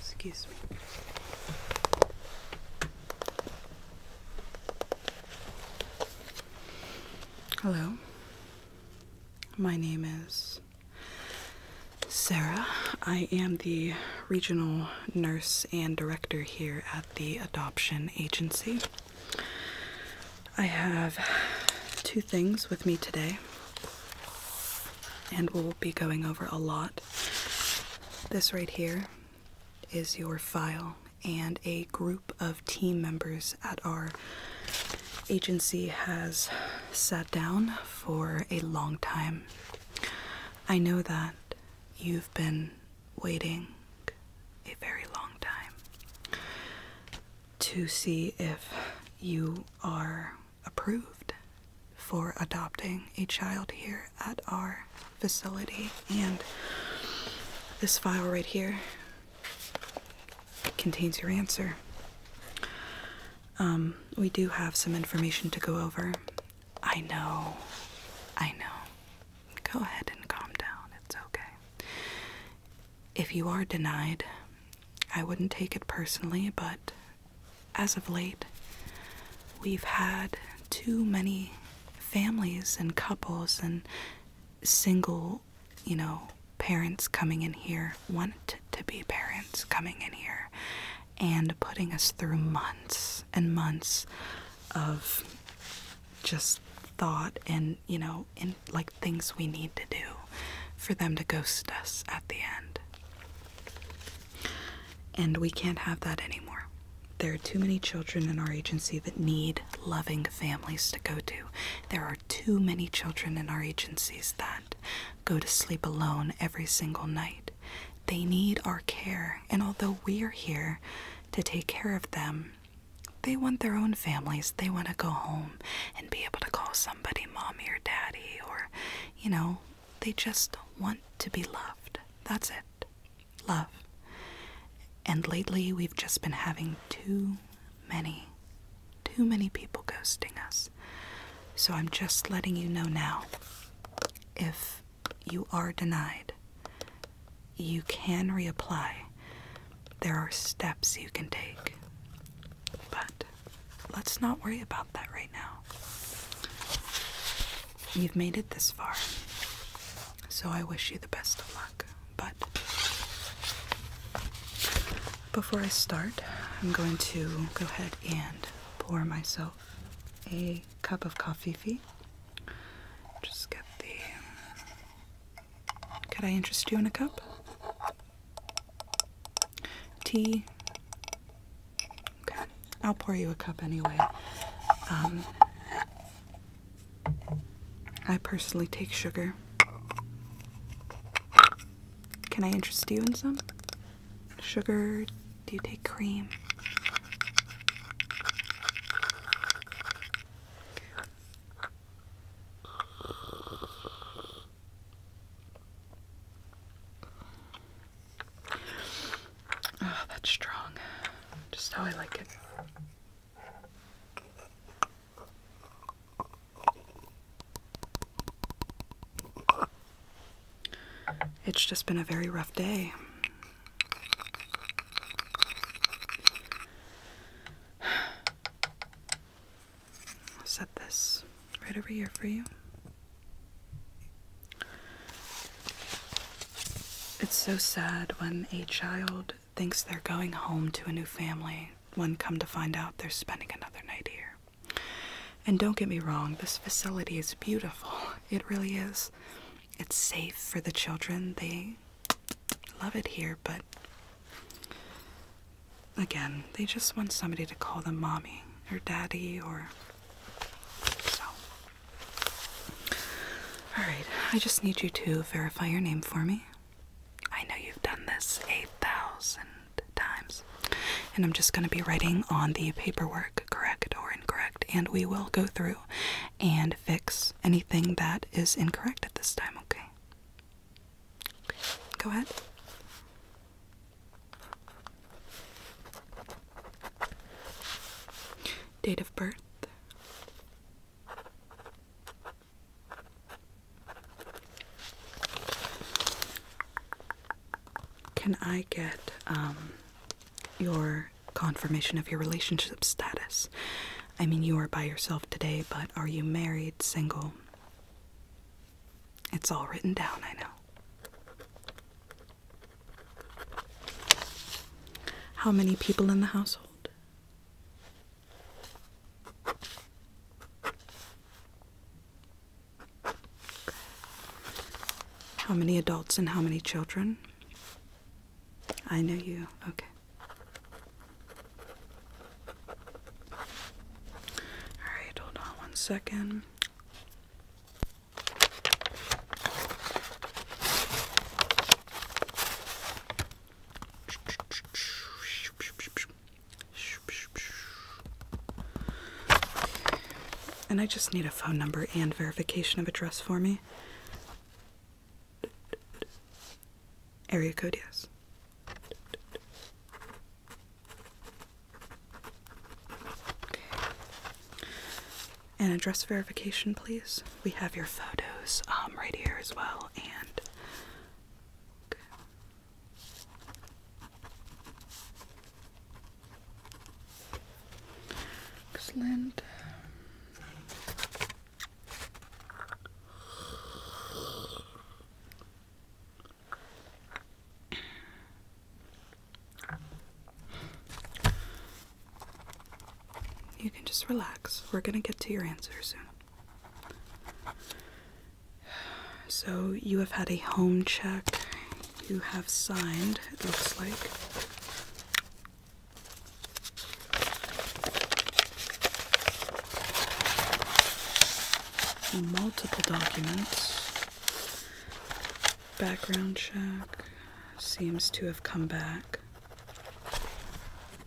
Excuse me. Hello. My name is Sarah. I am the regional nurse and director here at the adoption agency. I have two things with me today, and we'll be going over a lot. This right here is your file, and a group of team members at our agency has sat down for a long time I know that you've been waiting a very long time to see if you are approved for adopting a child here at our facility. And this file right here contains your answer. Um, we do have some information to go over. I know. I know. Go ahead and calm down. It's okay. If you are denied, I wouldn't take it personally, but as of late, we've had too many families and couples and single, you know, parents coming in here, want to be parents coming in here and putting us through months and months of just thought and you know in like things we need to do for them to ghost us at the end and we can't have that anymore there are too many children in our agency that need loving families to go to there are too many children in our agencies that go to sleep alone every single night they need our care, and although we're here to take care of them, they want their own families. They want to go home and be able to call somebody mommy or daddy, or, you know, they just want to be loved. That's it. Love. And lately, we've just been having too many, too many people ghosting us. So I'm just letting you know now if you are denied, you can reapply. There are steps you can take. But let's not worry about that right now. You've made it this far, so I wish you the best of luck. But before I start, I'm going to go ahead and pour myself a cup of coffee. Just get the. Could I interest you in a cup? Tea. Okay, I'll pour you a cup anyway. Um, I personally take sugar. Can I interest you in some? sugar? Do you take cream? Oh, that's strong. Just how I like it. It's just been a very rough day. I'll set this right over here for you. It's so sad when a child thinks they're going home to a new family, when come to find out they're spending another night here. And don't get me wrong, this facility is beautiful. It really is. It's safe for the children. They love it here, but again, they just want somebody to call them mommy or daddy or so. Alright, I just need you to verify your name for me. I know you've done this 8,000 times. And I'm just going to be writing on the paperwork, correct or incorrect, and we will go through and fix anything that is incorrect at this time, okay? Go ahead. Date of birth. Can I get um, your confirmation of your relationship status? I mean, you are by yourself today, but are you married, single? It's all written down, I know. How many people in the household? How many adults and how many children? I know you. Okay. All right, hold on one second. And I just need a phone number and verification of address for me. Area code, yes. And address verification, please. We have your photos um, right here as well, and Excellent. You can just relax. We're going to get to your answer soon. So you have had a home check. You have signed, it looks like. Multiple documents. Background check seems to have come back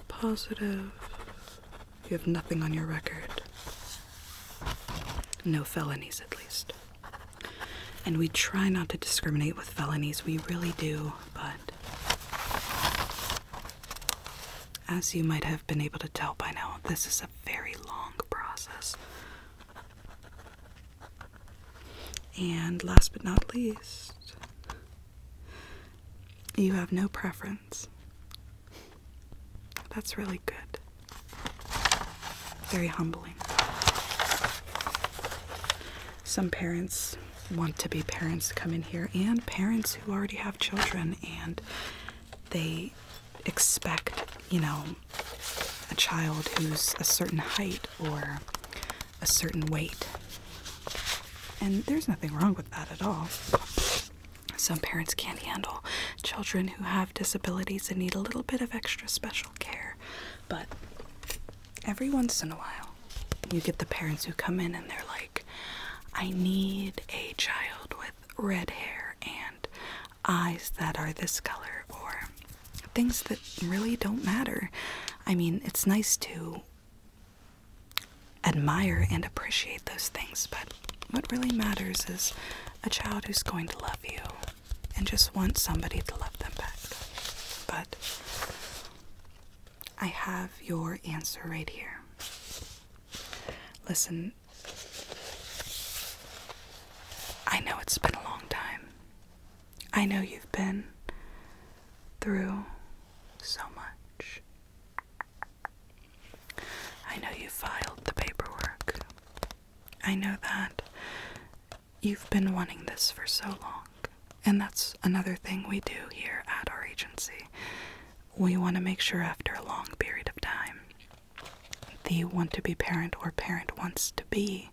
positive. You have nothing on your record. No felonies, at least. And we try not to discriminate with felonies, we really do, but as you might have been able to tell by now, this is a very long process. And last but not least, you have no preference. That's really good. Very humbling. Some parents want to be parents come in here, and parents who already have children, and they expect, you know, a child who's a certain height or a certain weight. And there's nothing wrong with that at all. Some parents can't handle children who have disabilities and need a little bit of extra special care. But every once in a while, you get the parents who come in and they're like, I need a child with red hair and eyes that are this color, or things that really don't matter. I mean, it's nice to admire and appreciate those things, but what really matters is a child who's going to love you and just want somebody to love them back. But I have your answer right here. Listen, I know it's been a long time. I know you've been through so much. I know you filed the paperwork. I know that you've been wanting this for so long, and that's another thing we do here at our agency. We want to make sure after a long period of time the want to be parent or parent wants to be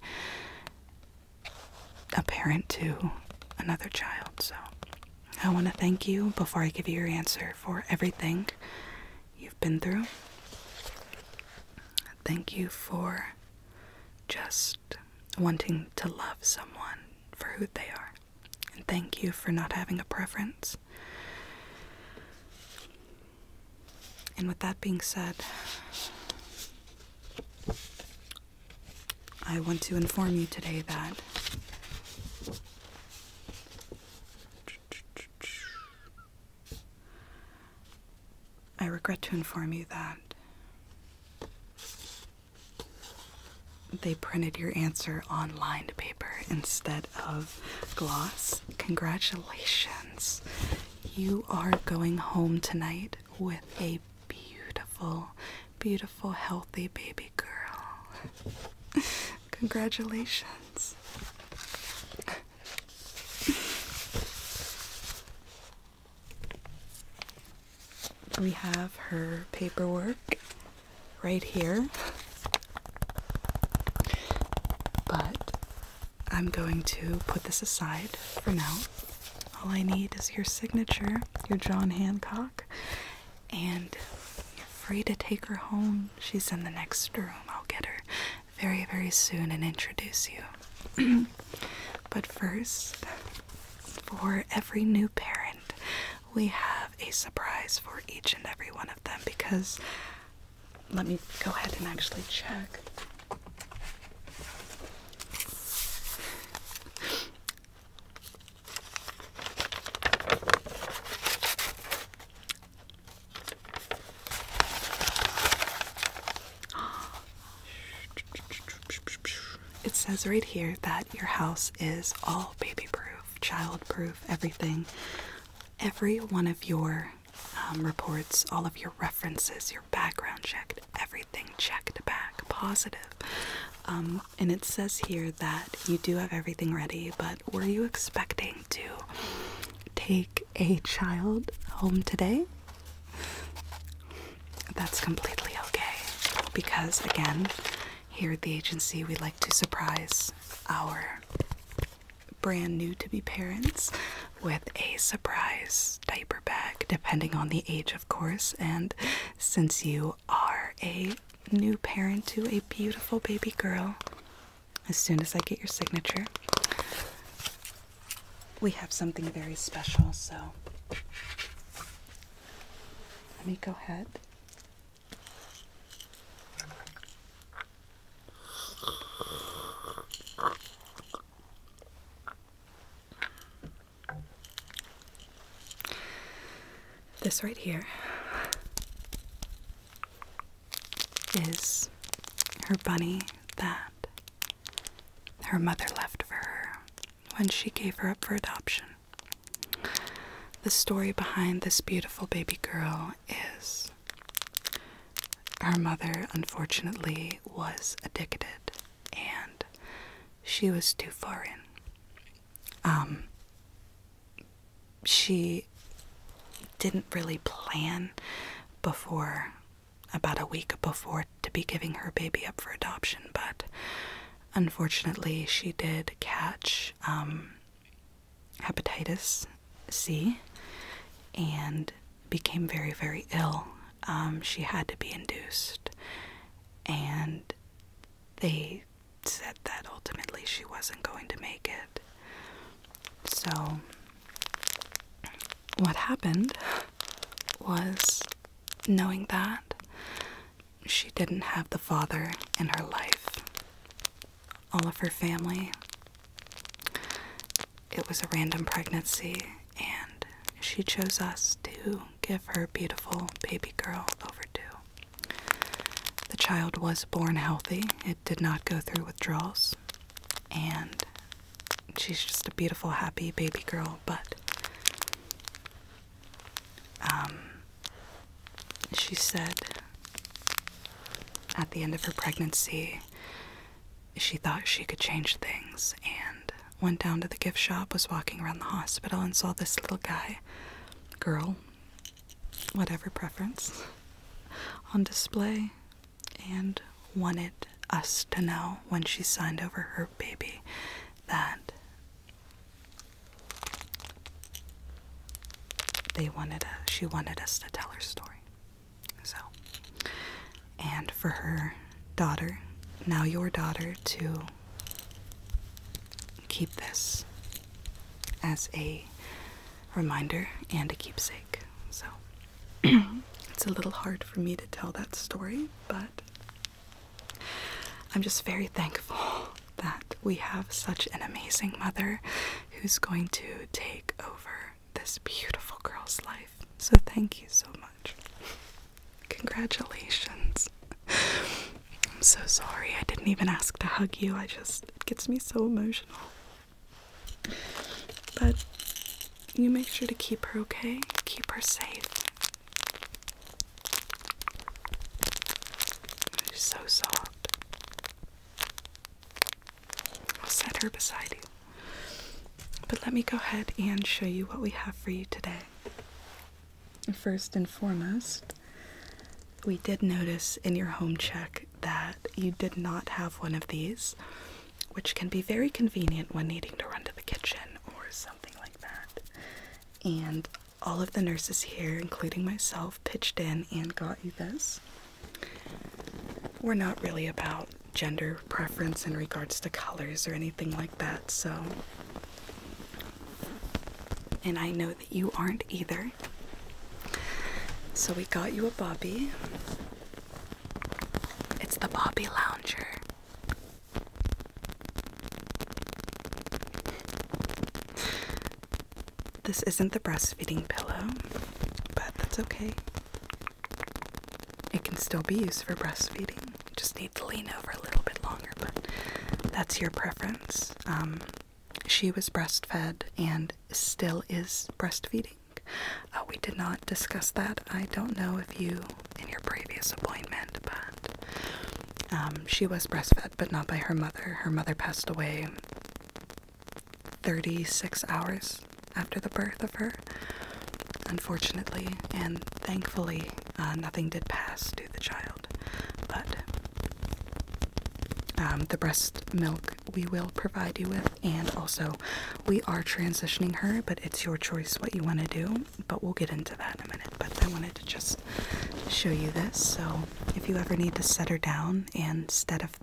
a parent to another child. So I want to thank you before I give you your answer for everything you've been through. Thank you for just wanting to love someone for who they are. And thank you for not having a preference. And with that being said, I want to inform you today that I regret to inform you that they printed your answer on lined paper instead of gloss. Congratulations! You are going home tonight with a beautiful, beautiful, healthy baby girl. Congratulations we have her paperwork right here. But I'm going to put this aside for now. All I need is your signature, your John Hancock, and you're free to take her home. She's in the next room. I'll get her very, very soon and introduce you. but first, for every new parent, we have a surprise for each and every one of them because let me go ahead and actually check. It says right here that your house is all baby proof, child proof, everything. Every one of your um, reports, all of your references, your background checked, everything checked back, positive. Um, and it says here that you do have everything ready, but were you expecting to take a child home today, that's completely okay because, again, here at the agency, we like to surprise our brand new to be parents with a surprise diaper bag, depending on the age, of course. And since you are a new parent to a beautiful baby girl, as soon as I get your signature. We have something very special, so let me go ahead. This right here is her bunny that her mother left for her when she gave her up for adoption. The story behind this beautiful baby girl is her mother, unfortunately, was addicted and she was too far in. Um, she didn't really plan before about a week before to be giving her baby up for adoption, but unfortunately, she did catch um, hepatitis C and became very, very ill. Um, she had to be induced, and they said that ultimately she wasn't going to make it. So what happened was knowing that she didn't have the father in her life, all of her family. It was a random pregnancy, and she chose us to give her beautiful baby girl over to. The child was born healthy, it did not go through withdrawals and she's just a beautiful happy baby girl but um, she said at the end of her pregnancy she thought she could change things and went down to the gift shop was walking around the hospital and saw this little guy girl whatever preference on display and wanted us to know when she signed over her baby that they wanted us. she wanted us to tell her story. So and for her daughter, now your daughter to keep this as a reminder and a keepsake. So it's a little hard for me to tell that story, but I'm just very thankful that we have such an amazing mother who's going to take over this beautiful girl's life. So, thank you so much. Congratulations. I'm so sorry. I didn't even ask to hug you. I just, it gets me so emotional. But you make sure to keep her okay, keep her safe. She's so soft. I'll set her beside you. But let me go ahead and show you what we have for you today. First and foremost, we did notice in your home check that you did not have one of these, which can be very convenient when needing to run to the kitchen or something like that. And all of the nurses here, including myself, pitched in and got you this. We're not really about gender preference in regards to colors or anything like that, so. And I know that you aren't either. So we got you a Bobby. It's the Bobby Lounger. This isn't the breastfeeding pillow, but that's okay. It can still be used for breastfeeding. You just need to lean over a little bit longer, but that's your preference. Um, she was breastfed and still is breastfeeding. Uh, we did not discuss that. I don't know if you in your previous appointment, but um, she was breastfed, but not by her mother. Her mother passed away 36 hours after the birth of her, unfortunately, and thankfully, uh, nothing did pass to the child. But um, the breast milk we will provide you with and also we are transitioning her, but it's your choice what you want to do. But we'll get into that in a minute. But I wanted to just show you this. So if you ever need to set her down, instead of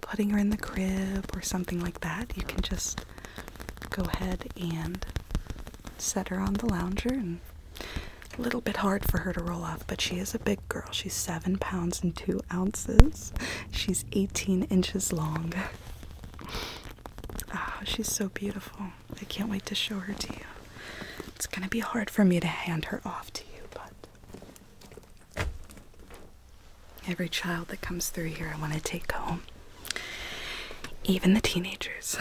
putting her in the crib or something like that, you can just go ahead and set her on the lounger and a little bit hard for her to roll off, but she is a big girl. She's seven pounds and two ounces. She's 18 inches long. Oh, she's so beautiful. I can't wait to show her to you. It's going to be hard for me to hand her off to you, but every child that comes through here I want to take home. Even the teenagers.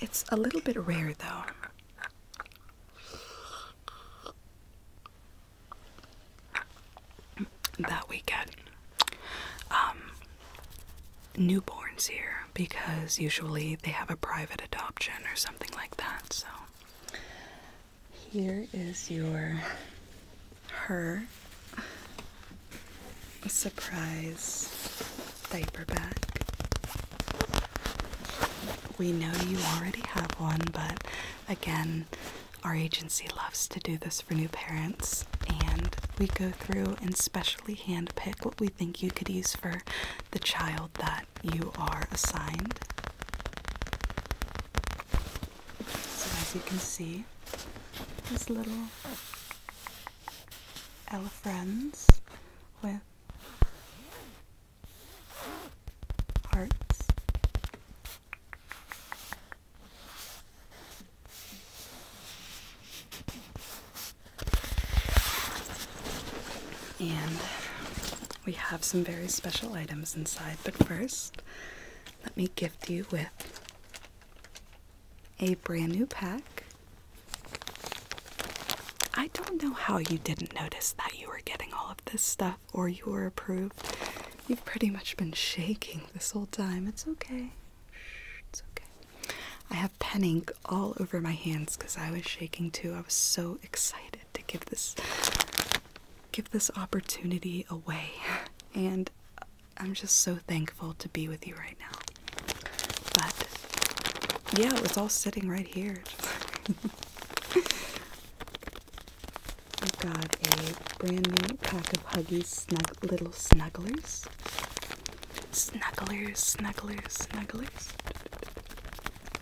It's a little bit rare though that we get um, newborns here because usually they have a private adoption or something like that. So here is your her surprise diaper bag. We know you already have one, but Again, our agency loves to do this for new parents, and we go through and specially handpick what we think you could use for the child that you are assigned. So, as you can see, his little friends with hearts. And we have some very special items inside, but first, let me gift you with a brand new pack. I don't know how you didn't notice that you were getting all of this stuff or you were approved. You've pretty much been shaking this whole time. It's okay. It's okay. I have pen ink all over my hands because I was shaking too. I was so excited to give this give this opportunity away. And I'm just so thankful to be with you right now. But yeah, it was all sitting right here. I've got a brand new pack of Huggies snug little snugglers. Snugglers, snugglers, snugglers.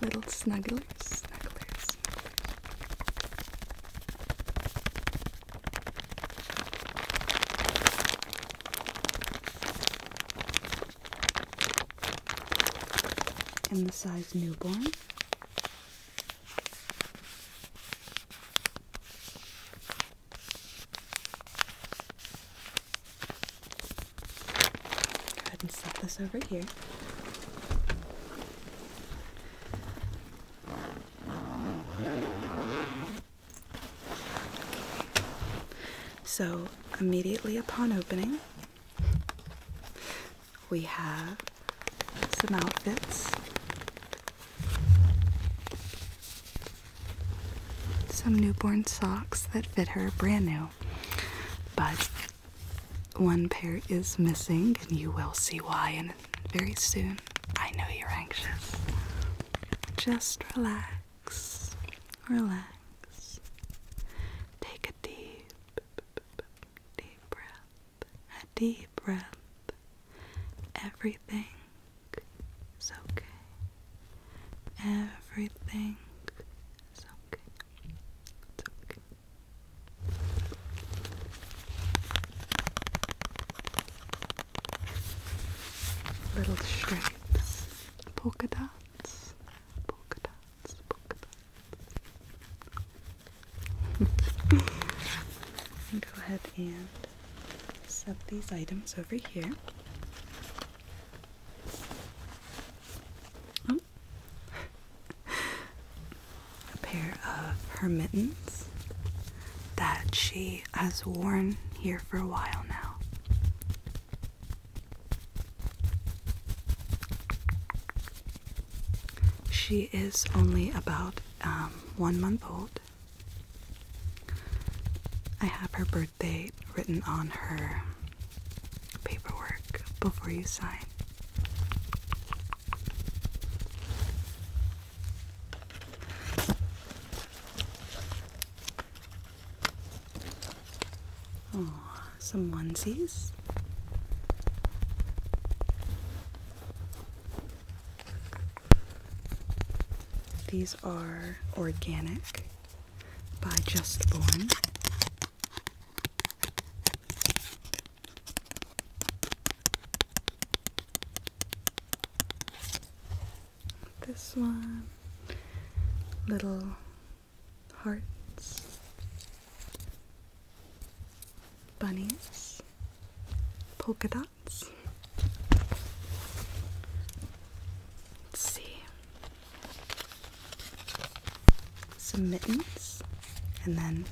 Little snugglers, snugglers, snugglers. In the size newborn. Go ahead and set this over here. So, immediately upon opening, we have some outfits, some newborn socks that fit her brand new, but one pair is missing, and you will see why and very soon. I know you're anxious. Just relax, relax, take a deep. Deep breath a deep breath. Everything is okay. Everything is okay. okay. Little stripes, polka dots, polka dots, polka dots. Go ahead and set these items over here. Oh. A pair of her mittens that she has worn here for a while now. She is only about um, one month old. I have her birthday written on her paperwork before you sign. Oh some onesies. These are organic by Just Born. This one, little hearts bunnies, polka dots. Let's see. Some mittens, and then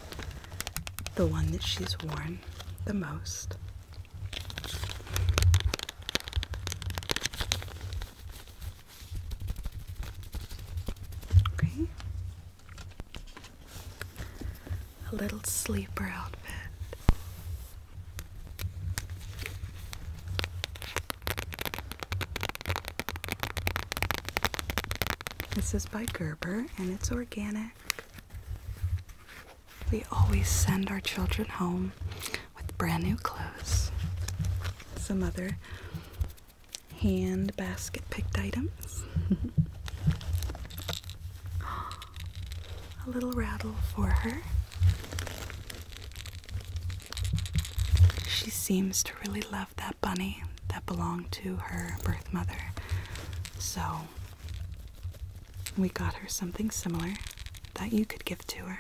the one that she's worn the most. Okay. A little sleeper outfit. This is by Gerber and it's organic. We always send our children home with brand new clothes. Some other hand basket picked items. A little rattle for her. She seems to really love that bunny that belonged to her birth mother. So we got her something similar that you could give to her.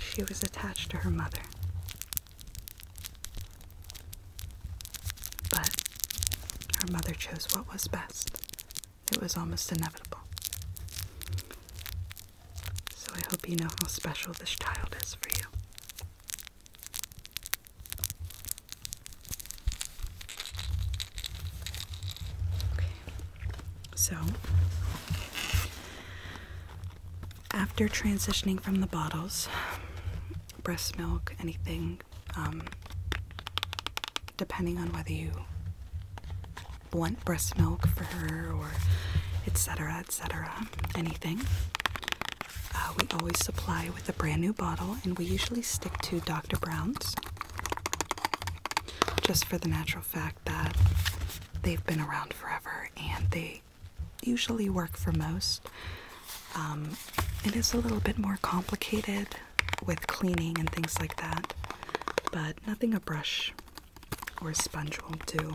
She was attached to her mother. But her mother chose what was best. It was almost inevitable. So I hope you know how special this child is for you. Okay. So after transitioning from the bottles, breast milk, anything, um, depending on whether you want breast milk for her or etc., etc., anything. Uh, we always supply with a brand new bottle, and we usually stick to Dr. Brown's just for the natural fact that they've been around forever and they usually work for most. Um, it is a little bit more complicated with cleaning and things like that, but nothing a brush or a sponge won't do.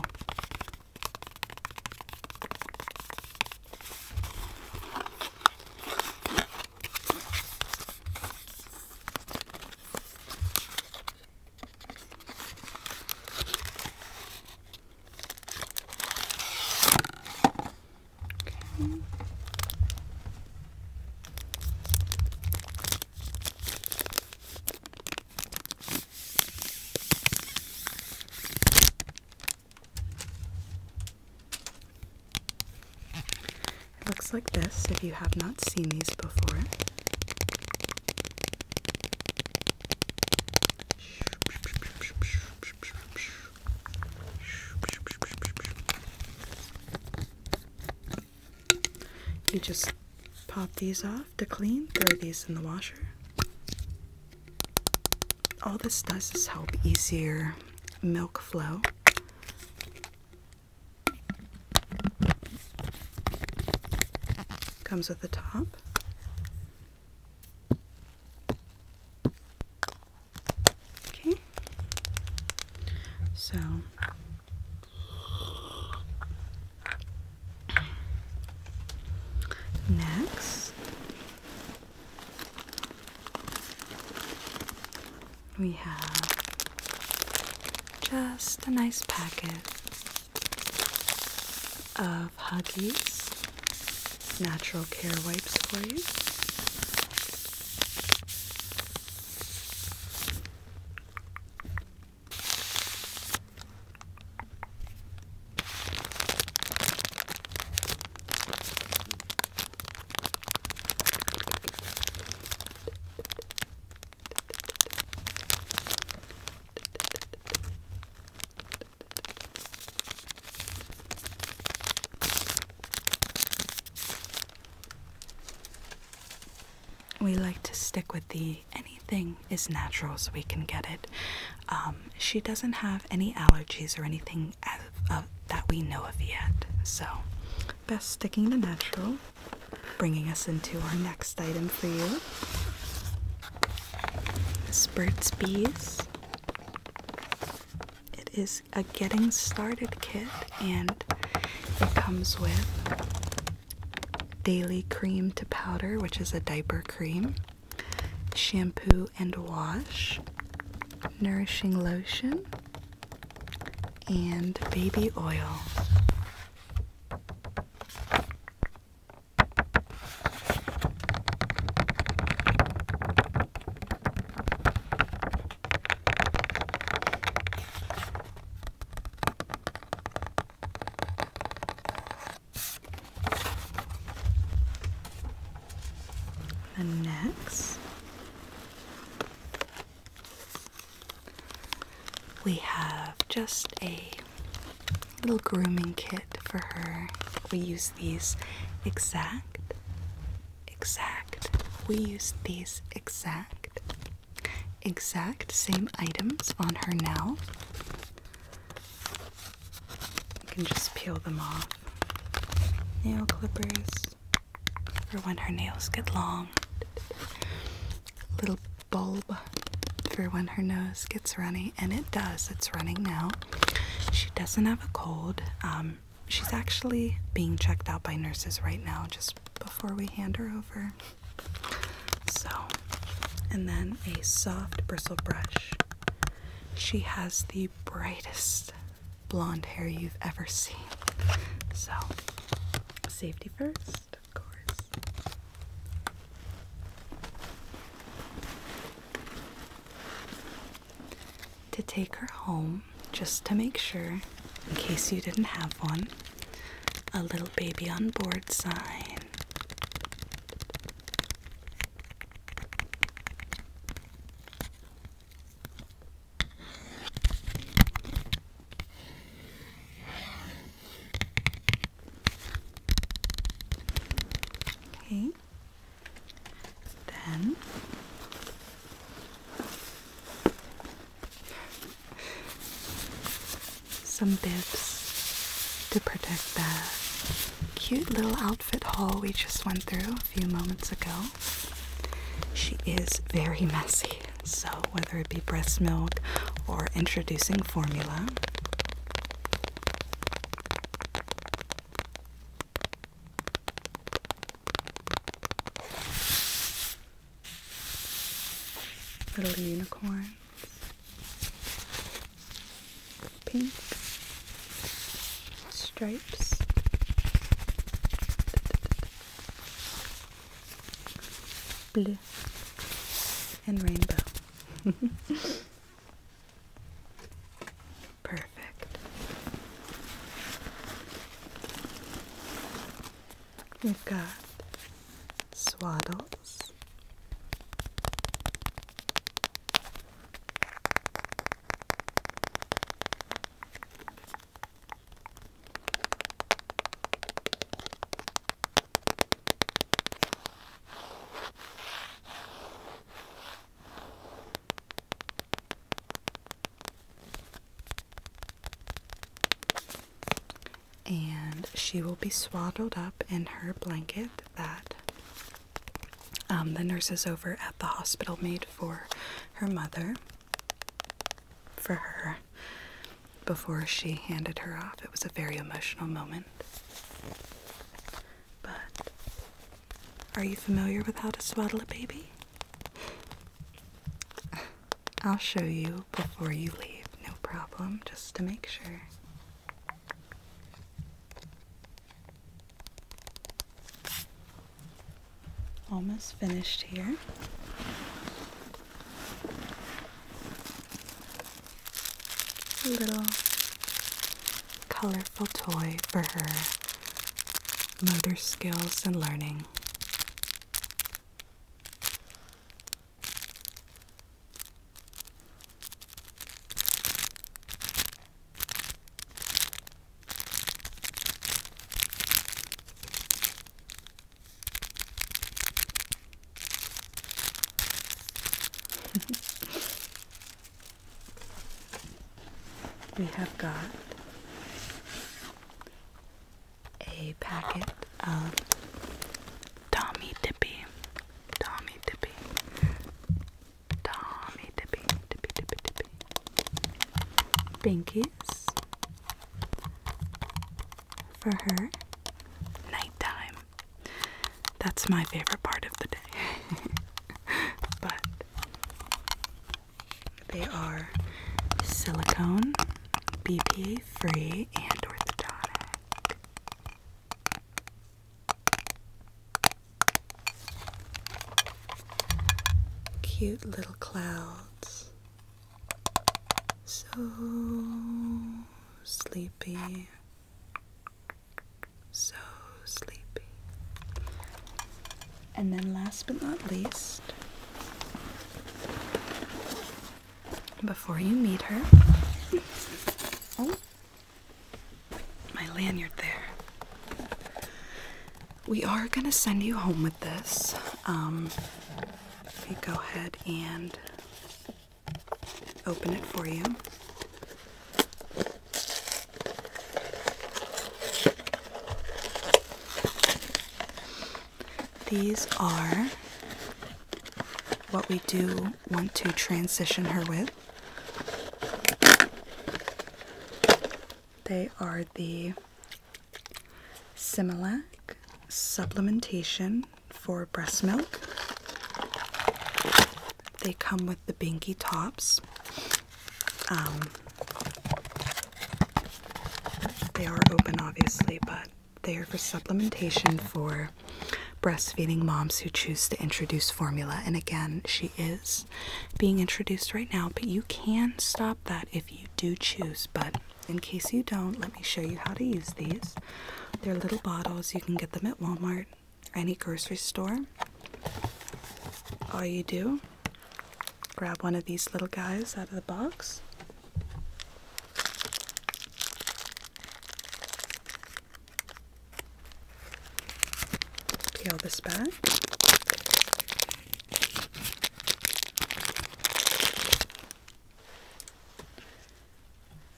It looks like this if you have not seen these before. You just pop these off to clean, throw these in the washer. All this does is help easier milk flow. Comes with the top. Okay. So next we have just a nice packet of Huggies natural care wipes for you. We like to stick with the anything is natural so we can get it. Um, she doesn't have any allergies or anything that we know of yet. So, best sticking to natural. Bringing us into our next item for you. This Burt's Bees. It is a getting started kit and it comes with daily cream to powder, which is a diaper cream, shampoo and wash, nourishing lotion, and baby oil next, we have just a little grooming kit for her. We use these exact, exact. We use these exact, exact same items on her now. You can just peel them off. Nail clippers for when her nails get long. Little bulb for when her nose gets runny, and it does. It's running now. She doesn't have a cold. Um, she's actually being checked out by nurses right now, just before we hand her over. So, and then a soft bristle brush. She has the brightest blonde hair you've ever seen. So, safety first, of course to take her home just to make sure, in case you didn't have one, a little baby on board sign. Okay. Then some bibs to protect that cute little outfit haul we just went through a few moments ago. She is very messy, so whether it be breast milk or introducing formula, Little unicorn, pink stripes, blue, and rainbow. Perfect. We've got swaddles, and she will be swaddled up in her blanket that um, the nurses over at the hospital made for her mother, for her, before she handed her off. It was a very emotional moment. But are you familiar with how to swaddle a baby? I'll show you before you leave, no problem, just to make sure. Almost finished here little colorful toy for her motor skills and learning. we have got a packet of Tommy Dippy. Tommy Dippy. Tommy Dippy. Dippy Dippy Dippy. Binkies for her. Nighttime that's my favorite part of the day. but they are silicone, BPA free, and orthodontic. Cute little clouds. So sleepy. So sleepy. And then, last but not least, before you meet her, oh, my lanyard there. We are going to send you home with this. Um, if go ahead and open it for you. These are what we do want to transition her with. They are the Similac Supplementation for breast milk. They come with the binky tops. Um, they are open, obviously, but they are for supplementation for breastfeeding moms who choose to introduce formula. And again, she is being introduced right now, but you can stop that if you do choose. But in case you don't, let me show you how to use these. They're little bottles. You can get them at Walmart any grocery store. All you do, grab one of these little guys out of the box. Peel this back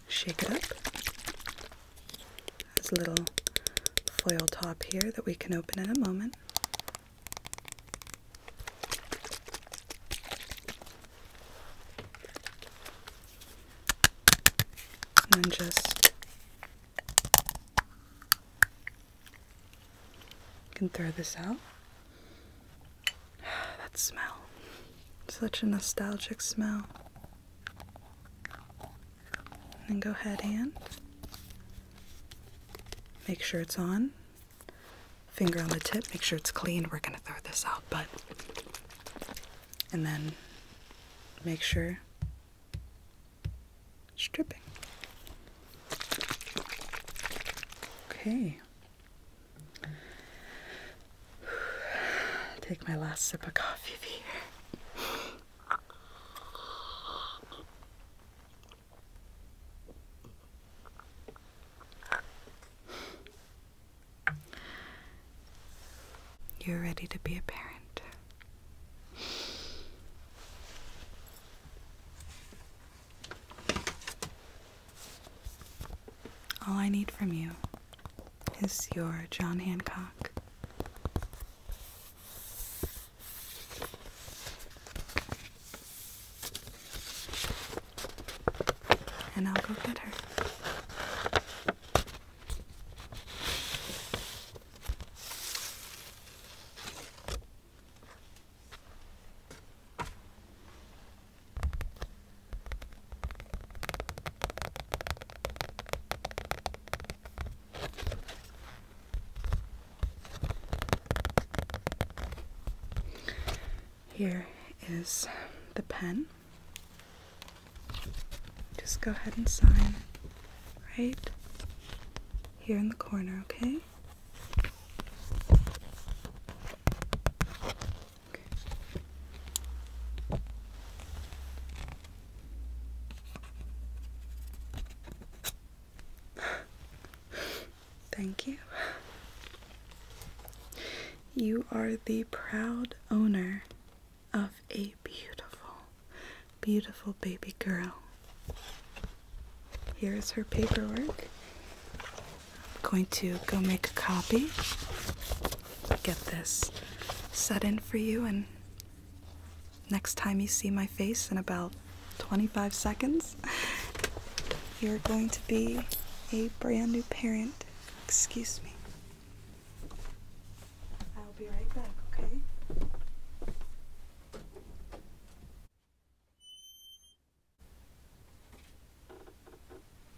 shake it up. There's a little foil top here that we can open in a moment. And then just can throw this out. that smell. Such a nostalgic smell. And go ahead and make sure it's on. Finger on the tip, make sure it's clean. We're going to throw this out, but. And then make sure stripping. Okay. Take my last sip of coffee here. You're ready to be a parent. All I need from you is your John Hancock. And I'll go get her. Here is the pen. Just go ahead and sign right here in the corner, okay? Thank you. You are the proud owner of a beautiful, beautiful baby girl. Here is her paperwork. I'm going to go make a copy get this set in for you, and next time you see my face in about 25 seconds, you're going to be a brand new parent. Excuse me. I'll be right back, okay?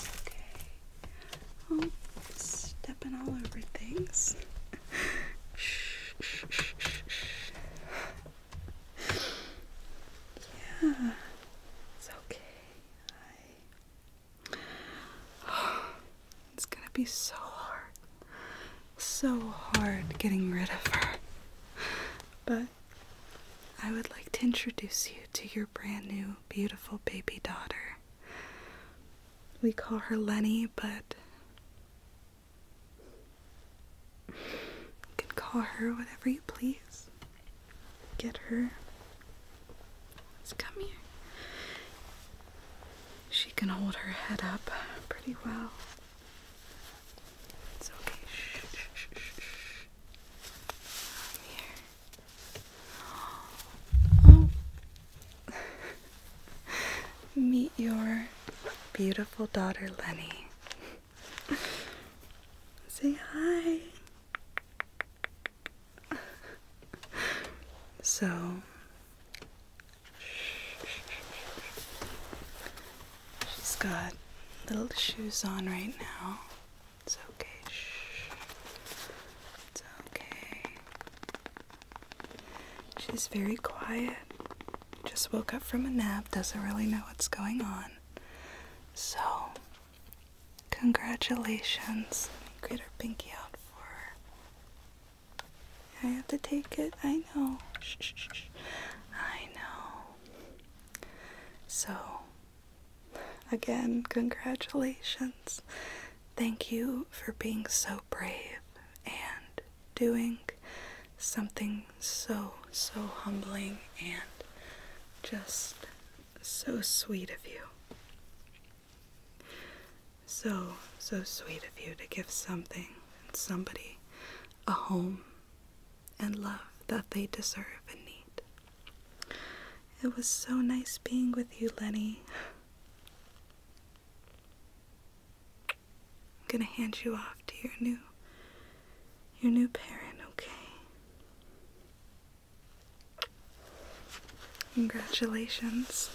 Okay. Oh, stepping all over things. yeah, it's okay. it's gonna be so hard. So hard getting rid of her. But I would like to introduce you to your brand new, beautiful baby daughter. We call her Lenny, but you can call her whatever you please. Get her. Let's come here. She can hold her head up pretty well. It's okay. Shh, shh, shh, shh. Meet your beautiful daughter, Lenny. Say hi. So, She's got little shoes on right now. It's okay. It's okay. She's very quiet. Just woke up from a nap, doesn't really know what's going on. So, congratulations. get her pinky out for I have to take it. I know. I know. So, Again, congratulations. Thank you for being so brave and doing something so, so humbling and just so sweet of you. So, so sweet of you to give something and somebody a home and love that they deserve and need. It was so nice being with you, Lenny. I'm gonna hand you off to your new your new parent, okay? Congratulations.